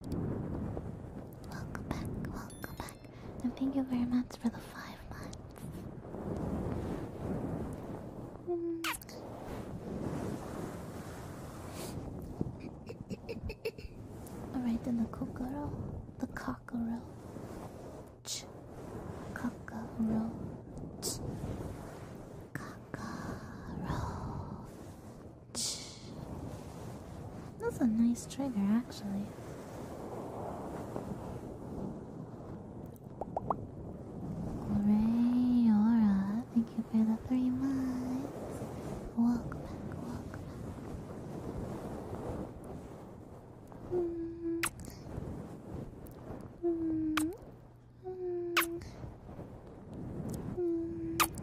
Welcome back, welcome back, and thank you very much for the five months. Alright, then the cockerel, the cockerel, cockroach, cockroach. That's a nice trigger, actually. Hooray, Aura! Thank you for the three months. Walk back, mm. Mm. Mm.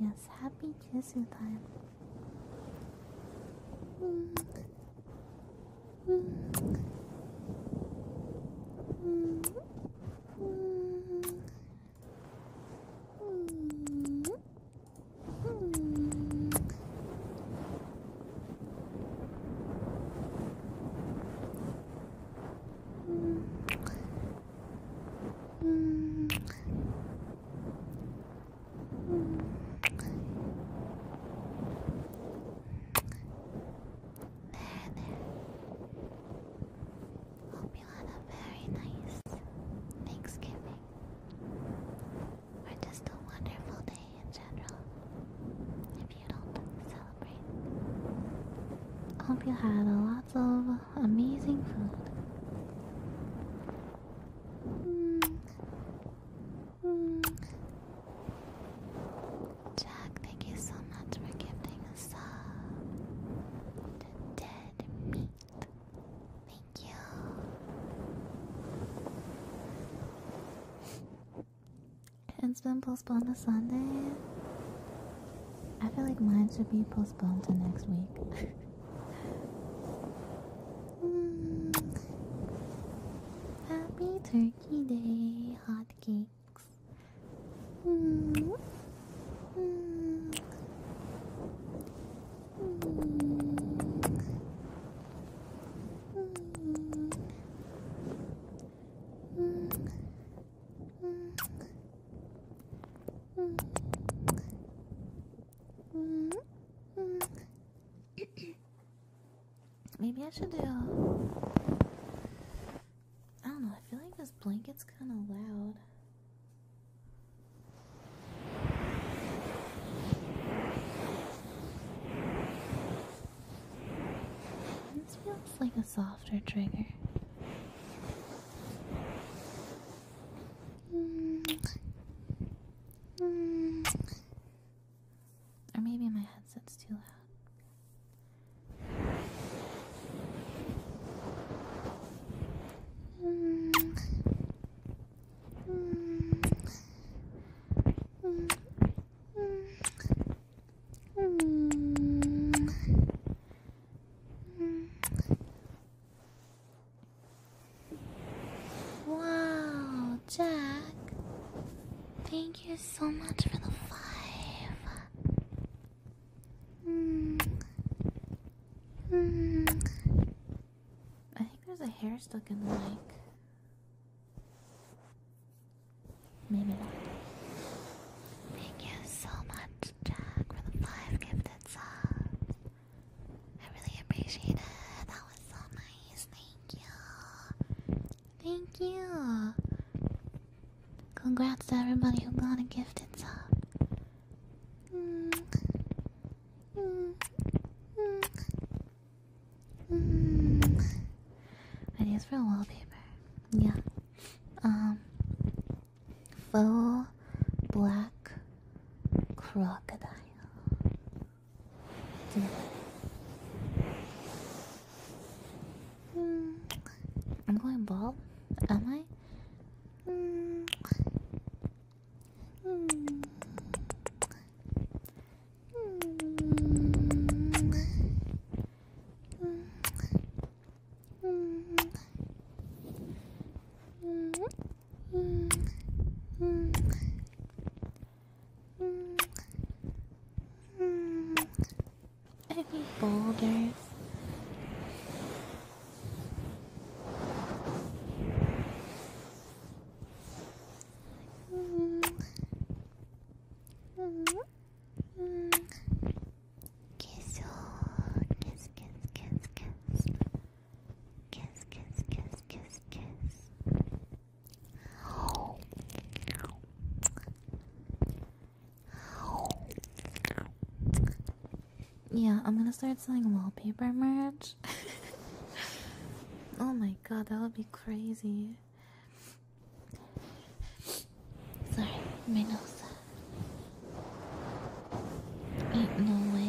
Yes, happy kissing time. Hope you had a very nice Thanksgiving or just a wonderful day in general. If you don't celebrate, hope you had lots of amazing food. Jack, thank you so much for gifting a sub to Dead Meat. Thank you. it's been postponed to Sunday. I feel like mine should be postponed to next week. Happy Turkey Day, hotcakes. Mm. Maybe I should do. Uh, I don't know, I feel like this blanket's kind of loud. This feels like a softer trigger. Or maybe my headset's too loud. Wow, Jack. Thank you so much for the five. I think there's a hair stuck in the mic. Maybe Thank you so much, Jack, for the five gifted subs. I really appreciate it. That was so nice. Thank you. Thank you. Congrats to everybody who got a gifted sub. Mm. mm. mm. Hmm. Ideas for wallpaper. Yeah. Um. Full black crocodile. Yeah. Hmm. I'm going bald. Am I? Mm. Mm i Any boulders? Kiss, oh, kiss, kiss, kiss, kiss. Kiss, kiss, kiss, kiss, kiss. Oh. Yeah, I'm gonna start selling wallpaper merch. oh my god, that would be crazy. Sorry, my no way.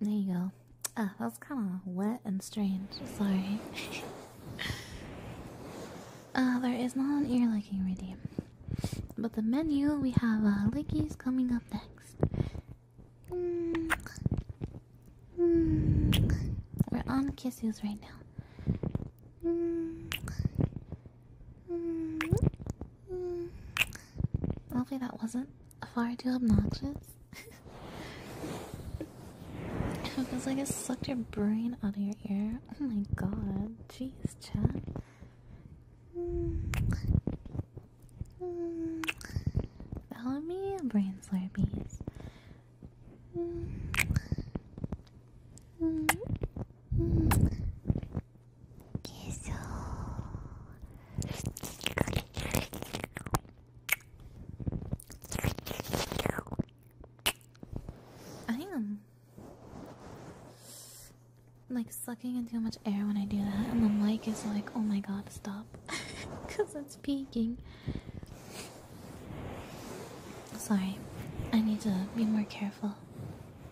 There you go. Ah, oh, that's kind of wet and strange. Sorry. uh, there is not an ear licking redeem. But the menu, we have uh, lickies coming up next. Mm. Mm. We're on kisses right now. Okay, that wasn't far too obnoxious. it feels like it sucked your brain out of your ear. Oh my god. Jeez, chat. Follow me, brain slurpees. Kiss I am like sucking in too much air when I do that, and the mic is like, oh my god, stop. Because it's peaking. Sorry, I need to be more careful.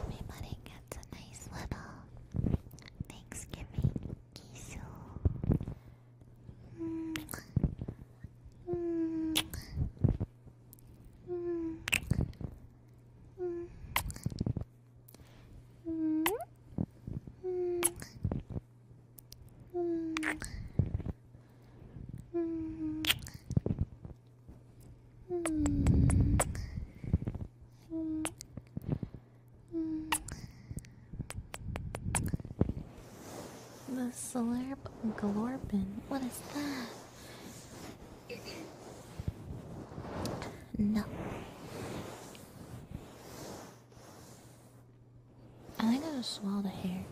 Everybody gets a nice little Thanksgiving kiss. Mm -hmm. Mm -hmm. Mm -hmm. Mm -hmm. The solar glorbin. What is that? no. I think I just swallowed a hair.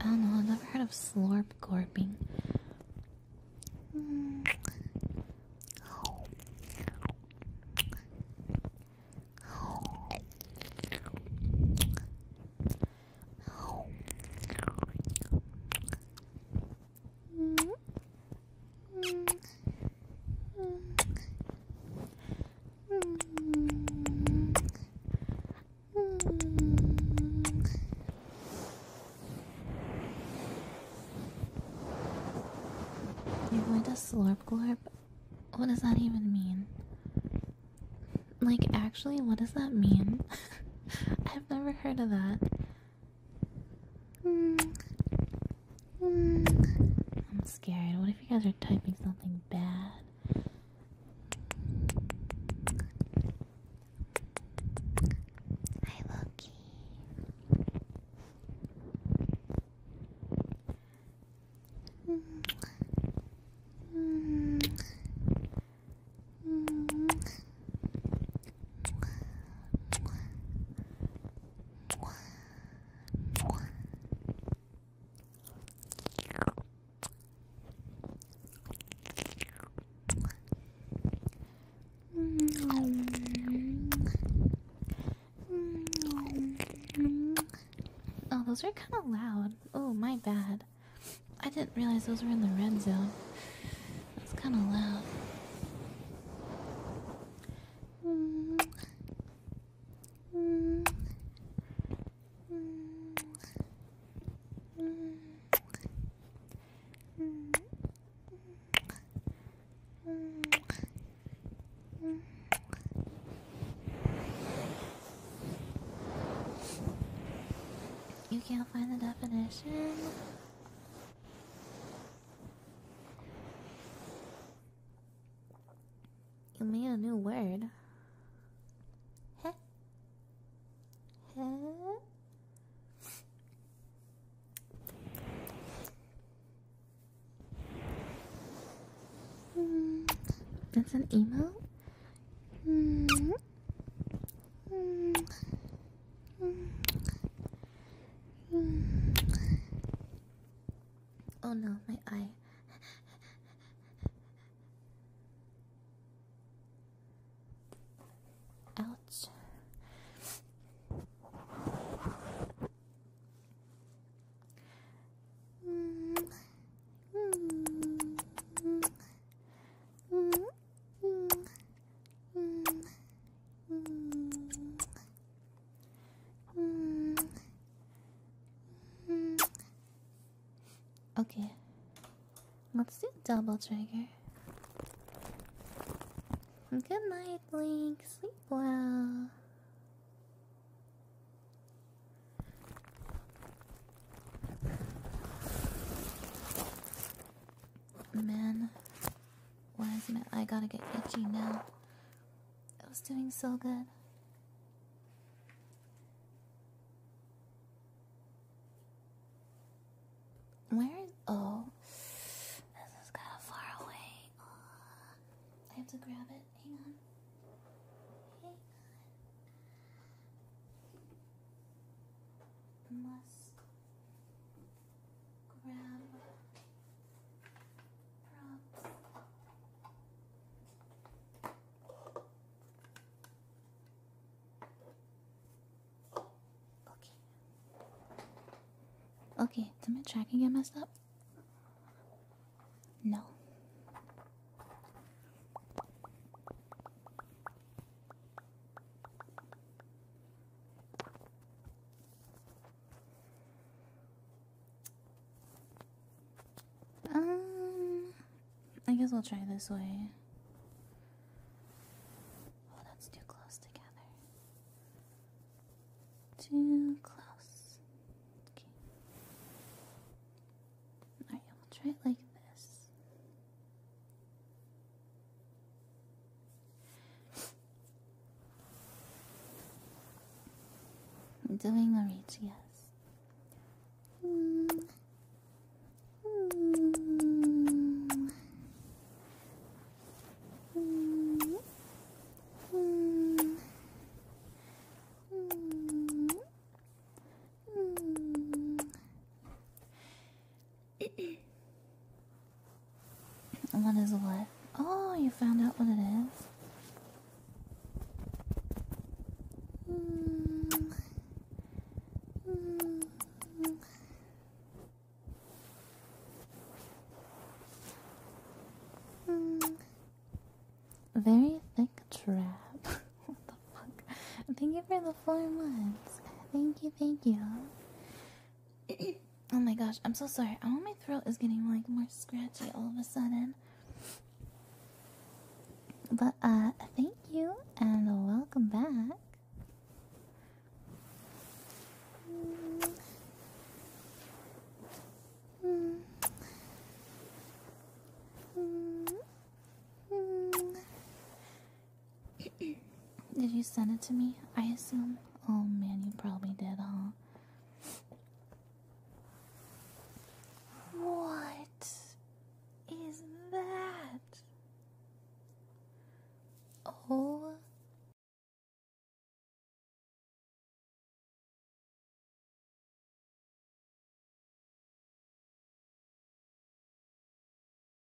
I don't know, I've never heard of slurp gorping. You went to Slurp Glorp? What does that even mean? Like, actually, what does that mean? I've never heard of that. I'm scared. What if you guys are typing something bad? Hi, Loki. Oh, those are kind of loud. Oh, my bad. I didn't realize those were in the red zone. That's kind of loud. You can't find the definition. You made a new word. Heh. Heh. Hmm. that's an email. Mm. Oh no, my eye. Ouch. Mm. Mm. Mm. Mm. Mm. Okay, let's do double trigger. Good night, Link. Sleep well. Man, why is my I gotta get itchy now? It was doing so good. Where is oh? This is kind of far away. I have to grab it. Hang on. Hang on grab Okay. Okay, did my tracking get messed up? No. Um, I guess we'll try this way. Oh, that's too close together. Too close. Okay. Alright, we'll try it like this. Doing a reach, yes what is what? Oh, you found out what it is. Very thick trap. what the fuck? Thank you for the four months. Thank you, thank you. oh my gosh, I'm so sorry. Oh, my throat is getting like more scratchy all of a sudden. But uh, thank you and welcome back did you send it to me? I assume. Oh man, you probably did, huh? What is that? Oh.